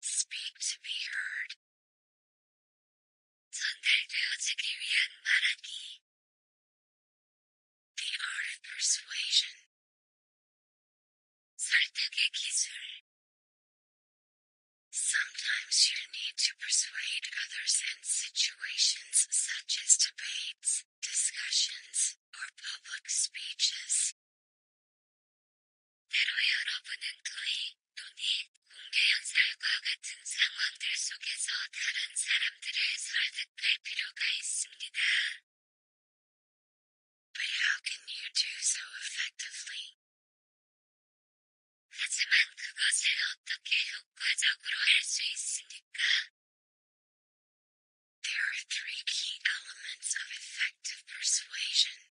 Speak to be heard. The art of persuasion. Sometimes you need to persuade others in situations such as debates, discussions, or public speeches. But how can you do so effectively? 하지만 그것을 어떻게 효과적으로 할 수 있습니까? There are three key elements of effective persuasion.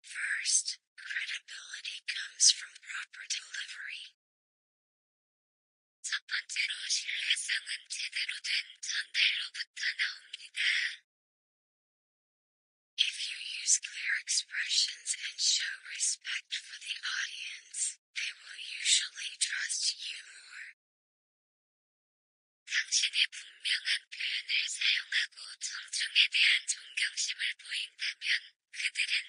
First, credibility comes from proper delivery. If you use clear expressions and show respect for the audience, they will usually trust you more. 그들은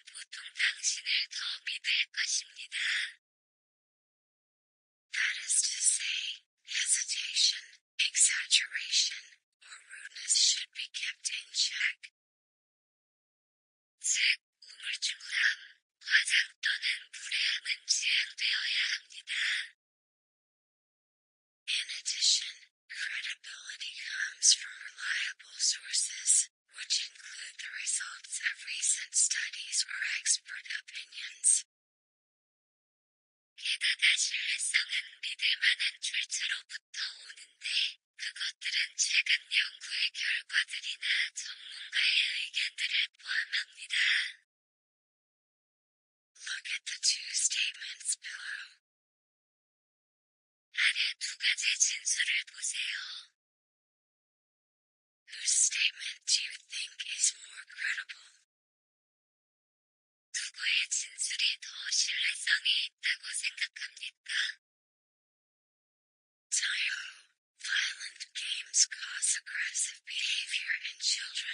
That is to say, hesitation, exaggeration, or rudeness should be kept in check. In addition, Credibility comes from reliable sources, which include the results of recent studies or expert opinions. 게다가 신뢰성은 믿을 출처로부터 오는데, 그것들은 최근 연구의 결과들이나 전문가의 의견들을 포함합니다. Look at the two statements below. Whose statement do you think is more credible? 누구의 진술이 더 신뢰성이 있다고 생각합니까? Time. Violent games cause aggressive behavior in children.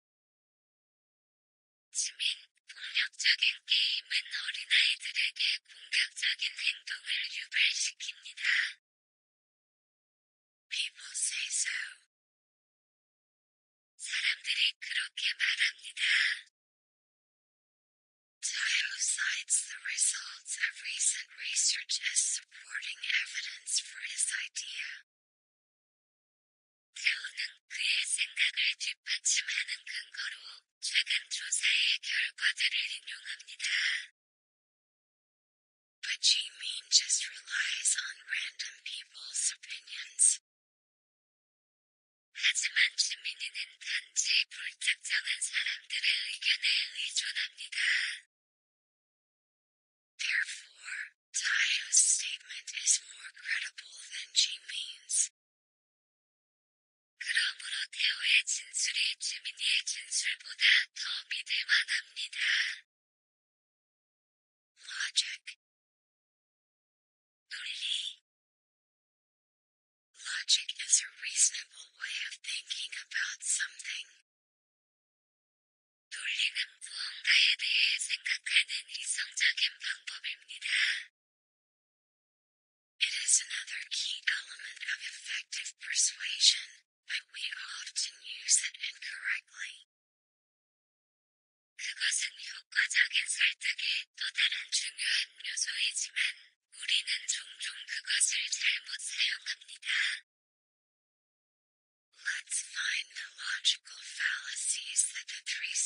지민, 폭력적인 게임은 어린아이들에게 공격적인 행동을 유발시킵니다. People say so. 사람들이 그렇게 말합니다. Tile cites the results of recent research as supporting evidence for his idea. 사우는 그의 생각을 뒷받침하는 근거로 최근 조사의 결과들을 인용합니다. But Jimin just relies on random people's opinions. 하지만 지민이는 단지 불특정한 사람들의 의견에 의존합니다. Therefore, Tayo's statement is more credible than she means. 그러므로 태호의 진술이 주민의 진술보다 더 믿을 만합니다. Logic 논리 Logic is a reasonable way of thinking about something. 논리는 무언가에 대해 생각하는 이성적인 it is another key element of effective persuasion, but we often use it incorrectly. 요소이지만, 우리는 종종 그것을 잘못 사용합니다. Let's find the logical fallacies that the three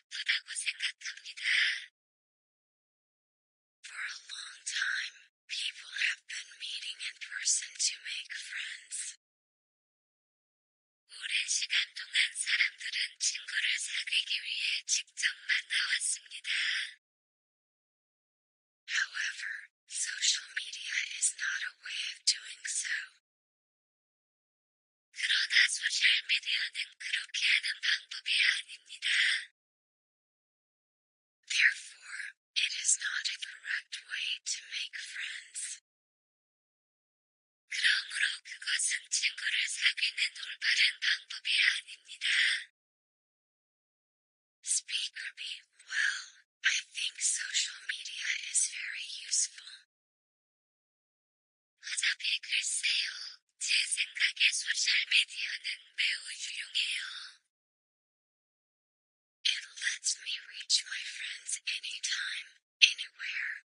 For a long time, people have been meeting in person to make friends. 오랜 시간 동안 사람들은 친구를 사귀기 위해 직접 만나왔습니다. However, social media is not a way of doing so. Therefore, it is not a correct way to make friends. 그러므로 그것은 친구를 사귀는 올바른 방법이 아닙니다. Speaker B. Well, I think social media is very useful. 화답이 글쎄요. 제 생각에 소셜 미디어는 매우 유용해요. It lets me reach my friends anytime, anywhere.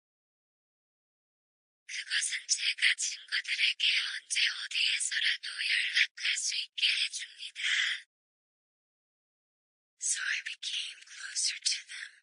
그것은 제가 친구들에게 언제 어디에서라도 연락할 수 있게 해줍니다. So I became closer to them.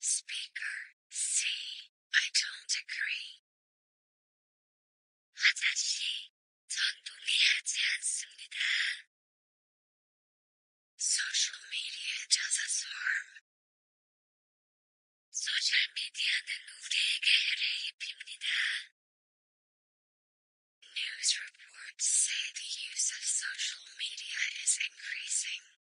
Speaker, C, don't agree. 아저씨, 전 동의하지 않습니다. Social media does us harm. 소셜 미디어는 우리에게 해를 입힙니다. News reports say the use of social media is increasing.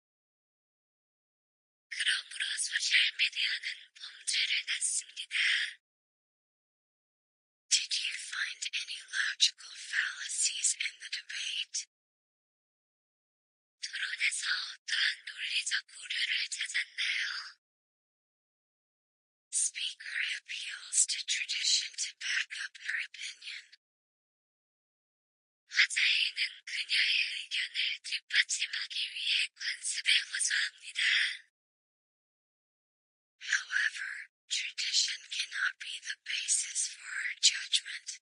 Did you find any logical fallacies in the debate? 토론에서 어떠한 논리적 오류를 찾았나요? Speaker appeals to tradition to back up her opinion. However, tradition cannot be the basis for our judgment.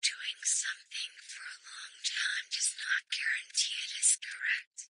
Doing something for a long time does not guarantee it is correct.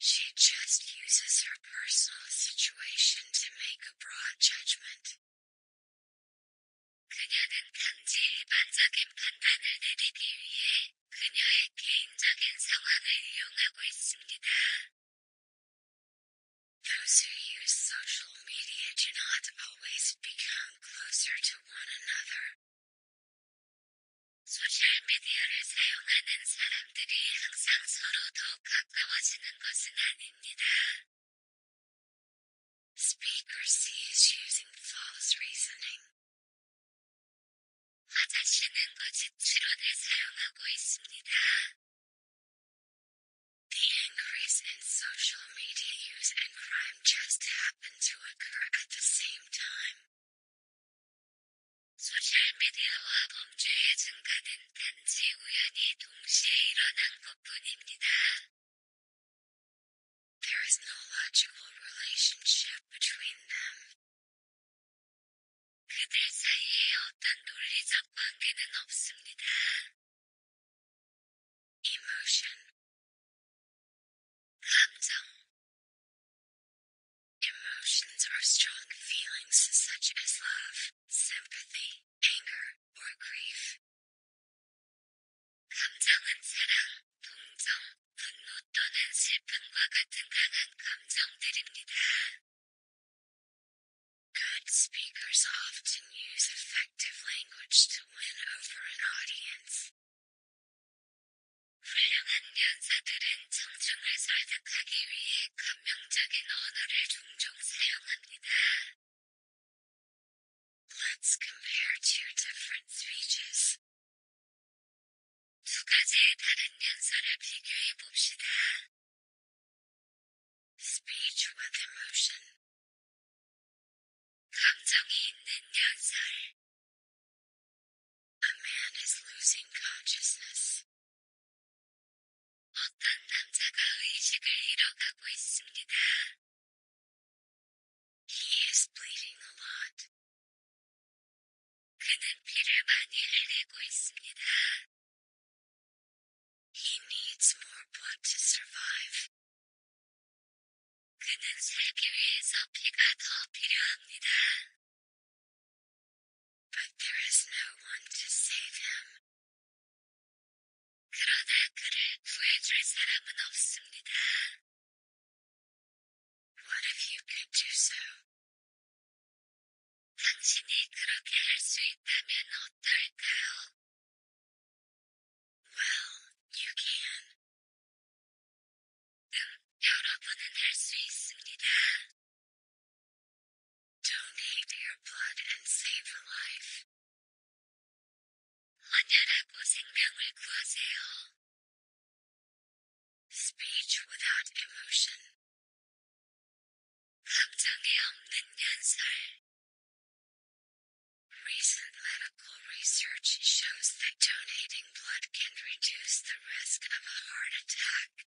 She just uses her personal situation to make a broad judgment. Those who use social media do not always become closer to one another. Speaker C is using false reasoning. 화자씨는 거짓 추론을 사용하고 있습니다. The increase in social media use and crime just happened to occur at the same time. 소셜미디어와 범죄의 증가는 단지 우연히 동시에 일어난 것뿐입니다. There is no logical relationship between them. 그들 사이에 어떤 논리적 관계는 없습니다. Emotion 감정 Emotions are strong feelings such as love, sympathy, anger, or grief. Good speakers often use effective language to win over an audience. 사용합니다. Let's compare two different speeches. Speech with emotion. 감정이 있는 연설. A man is losing consciousness. He is bleeding a lot. 그는 피를 많이 흘리고 있습니다. He needs more blood to survive. 그는 살기 위해서 피가 더 필요합니다. But there is no one to save him. 그러나 그를 구해줄 사람은 없습니다. What if you could do so? 당신이 그렇게 할 수 있다면 어떨까요? Well, you can. 응, 여러분은 할 수 있습니다. Donate your blood and save a life. Speech without emotion. Recent medical research shows that donating blood can reduce the risk of a heart attack.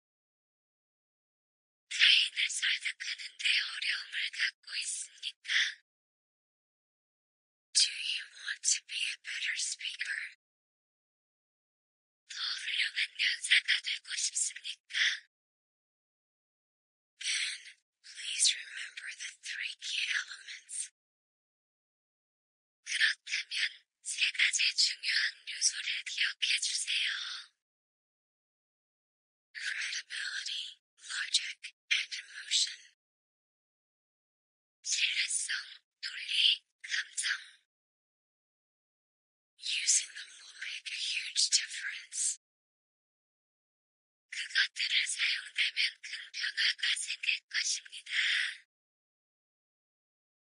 사인을 설득하는 데 어려움을 갖고 있습니까? Do you want to be a better speaker? Then, please remember the three key elements. 세 가지 중요한 요소를 기억해 주세요. credibility, logic, and emotion. 신뢰성, 논리, 감정. Using them will make a huge difference. 그것들을 사용하면 큰 변화가 생길 것입니다.